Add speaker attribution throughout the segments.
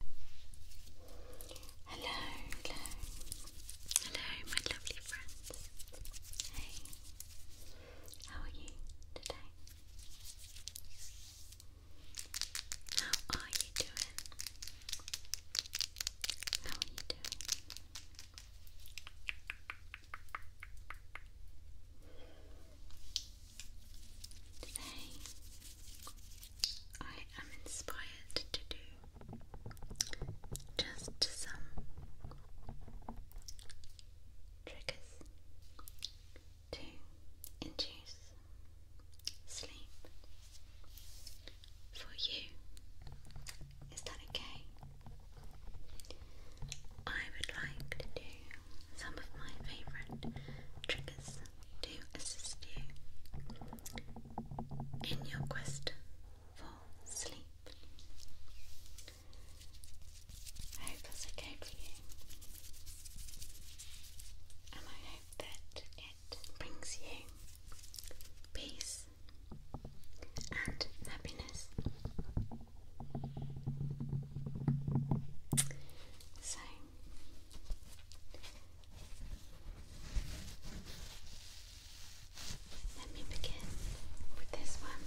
Speaker 1: Hello, hello, hello, my lovely friends. Hey, how are you today? How are you doing? How are you doing? Today, I am inspired to do just some triggers to induce sleep for you. Is that okay? I would like to do some of my favourite triggers to assist you in your quest for sleep. I hope that's okay for you, and I hope that it brings you peace and happiness. So, let me begin with this one.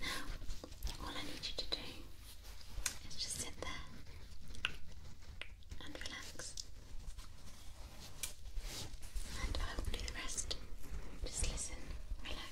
Speaker 1: Now, all I need you to do is just sit there and relax. And hopefully the rest. Just listen, relax.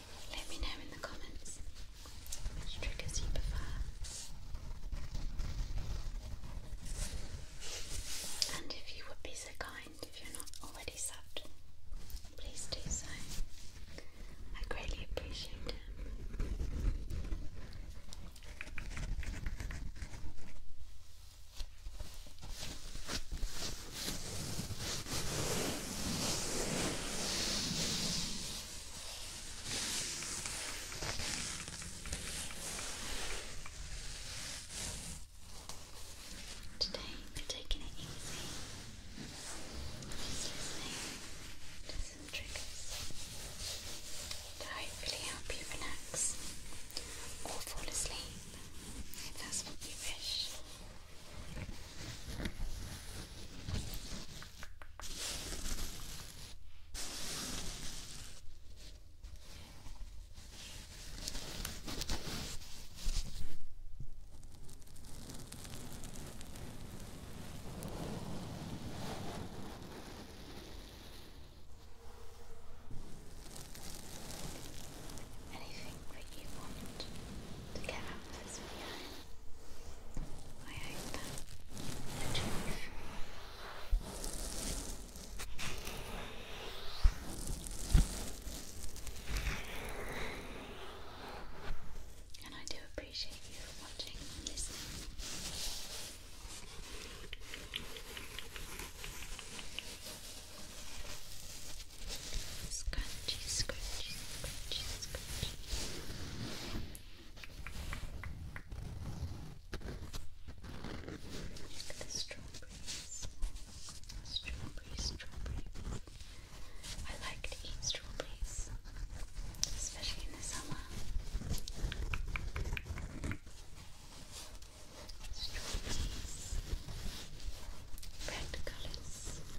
Speaker 1: Let me know in the comments which triggers you prefer. And if you would be so kind, if you're not already subbed, please do so. I greatly appreciate it. Today we're taking it easy. Just some triggers to hopefully help you relax or fall asleep if that's what you wish. Anything that you want to get out this video. I hope that you And I do appreciate you for watching and listening. Scratchy, scratchy, scratchy, Look at the strawberries. Strawberry, strawberry. I like to eat strawberries, especially in the summer. Strawberries, red colors.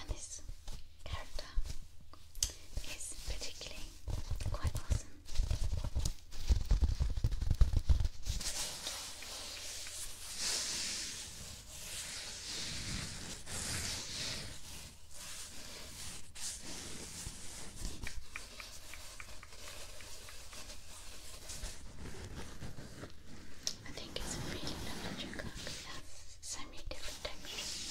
Speaker 1: And this character is particularly quite awesome. I think it's really lovely to cook. It so many different textures.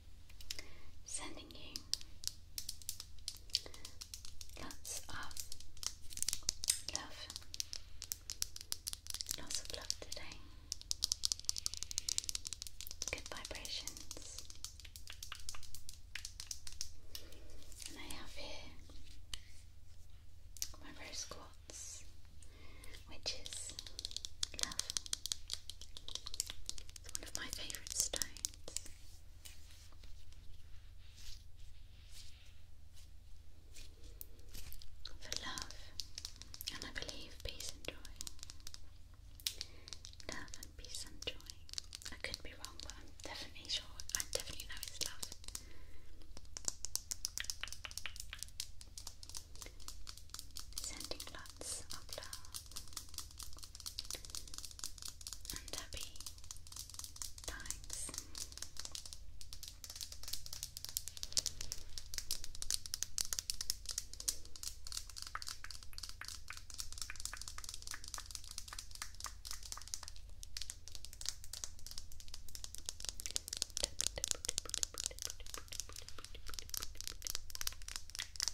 Speaker 1: sending you lots of love, lots of love today, good vibrations, and I have here my rose quartz, which is love, it's one of my favourite stones. For love, and I believe peace and joy. Love and peace and joy. I could be wrong, but I'm definitely sure. I definitely know it's love. Sending love lots of love and happy times.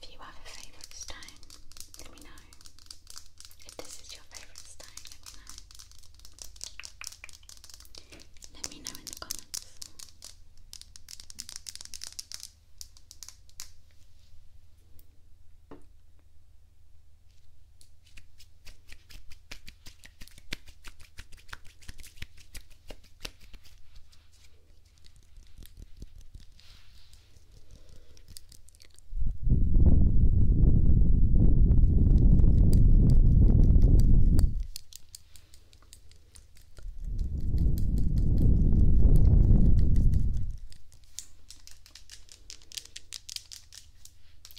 Speaker 1: If you have a favourite stone, let me know. If this is your favourite stone, let me know. Let me know in the comments.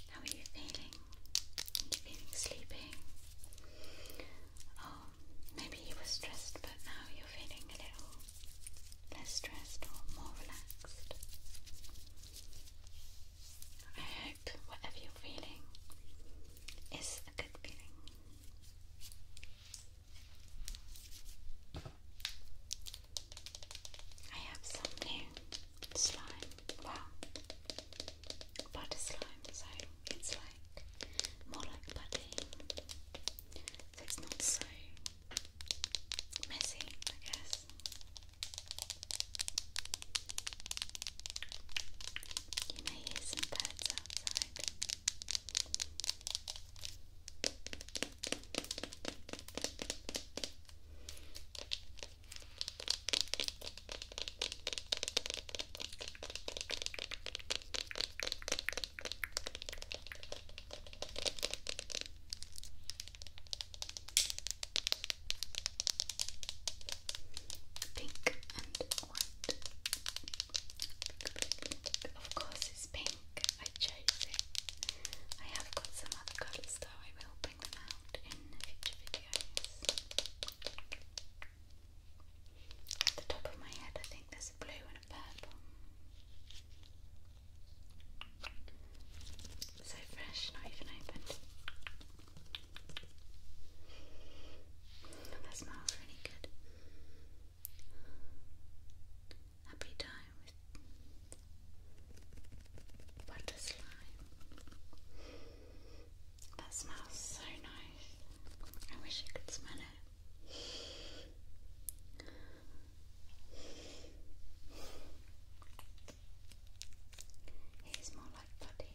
Speaker 1: How are you feeling? Are you feeling sleepy? maybe you were stressed, but now you're feeling a little less stressed or more relaxed. I hope whatever you're feeling is a good feeling. I have some new slime. Wow, butter slime, so it's like more like budding, so it's not so messy, I guess. You may hear some birds Pink and white. Of course, it's pink. I chose it. I have got some other colours though. I will bring them out in future videos. At the top of my head, I think there's blue and a purple. So fresh, not even opened. that smells really good. Happy time with butter slime. That smells so nice. I wish you could smell it. It is more like putty.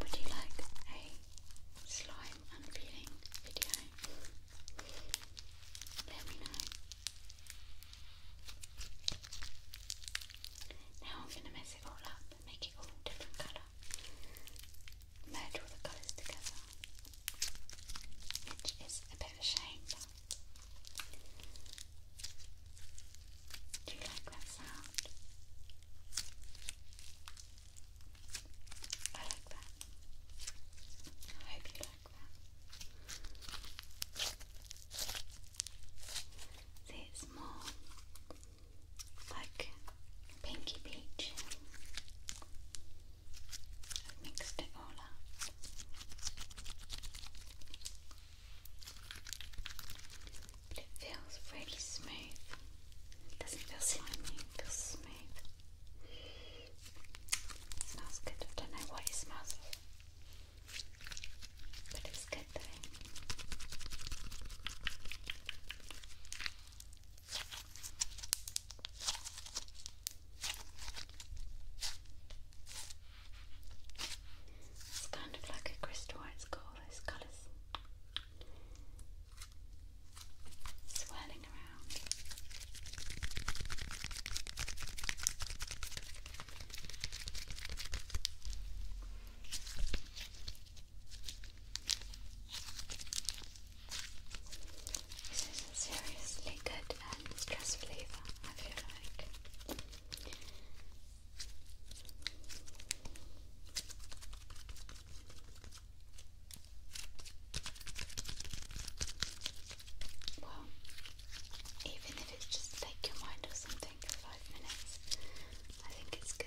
Speaker 1: Would you like a slime unpeeling video? Let me know. Now I'm going to mess it all up and make it all different colour. Merge all the colours together, which is a bit of a shame. Do you like that sound? I like that. I hope you like that. it's more like pinky peach. mixed it all up. But it feels really smooth. doesn't feel slimy, feels smooth. smells good. I don't know what it smells of. But it's good though. It's kind of like a crystal, it's got those colours swirling around. This is seriously good and stress reliever, I feel like. Well, even if it's just take your mind off something for five minutes, I think it's good.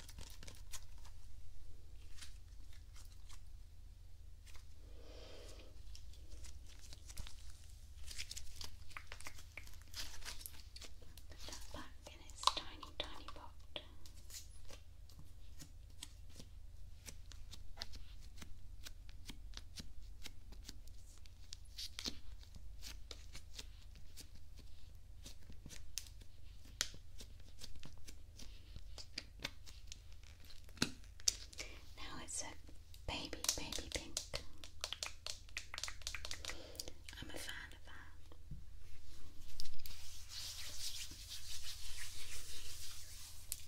Speaker 1: Put that back in its tiny, tiny pot. There now it's a baby, baby pink. I'm a fan of that.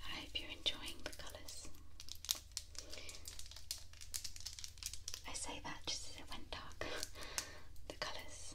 Speaker 1: I hope you're enjoying the colours. I say that just as it went dark. the colours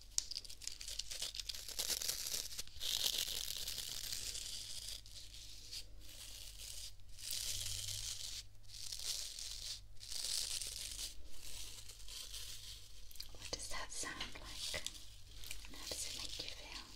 Speaker 1: What does that sound like? how does it make you feel?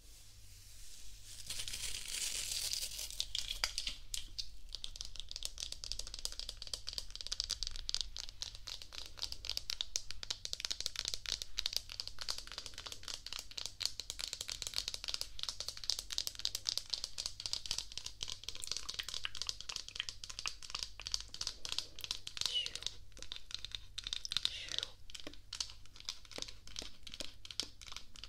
Speaker 1: Shoop. Shoop.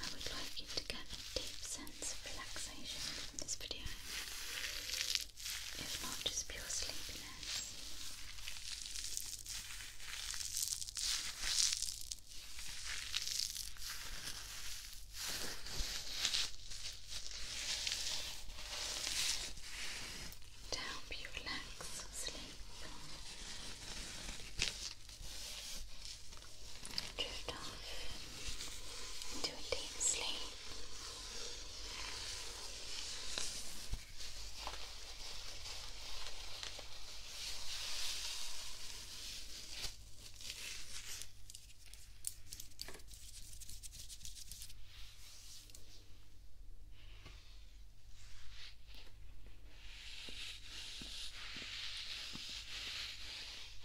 Speaker 1: I would like you to get a deep sense of relaxation from this video, if not just pure sleepiness. To help you relax or sleep, drift off into a deep sleep. Relax.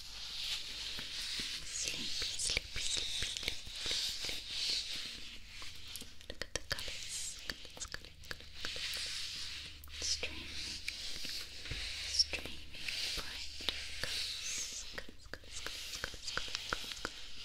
Speaker 1: Sleepy, sleepy, sleepy, sleepy, sleepy. Look at the colors. Look at the colors. Streaming, streaming bright colors. Colors, colors, colors, colors, colors, colors, colors.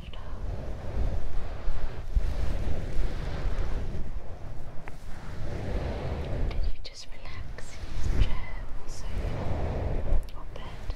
Speaker 1: crystal. Did you just relax in this chair or sofa or bed?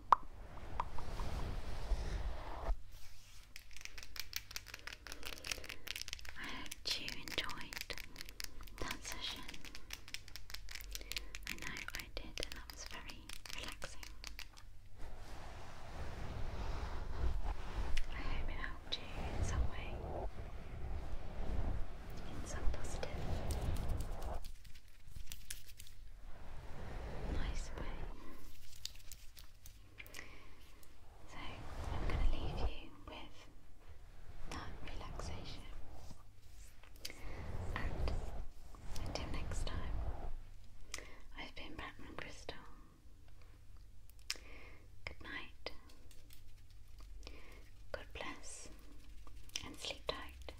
Speaker 1: I hope you enjoyed that session. I know I did, and that was very relaxing. I hope it helped you in some way, in some positive, nice way. So I'm going to leave you with that relaxation. And until next time, I've been Batman Crystal. Good night. God bless and sleep tight.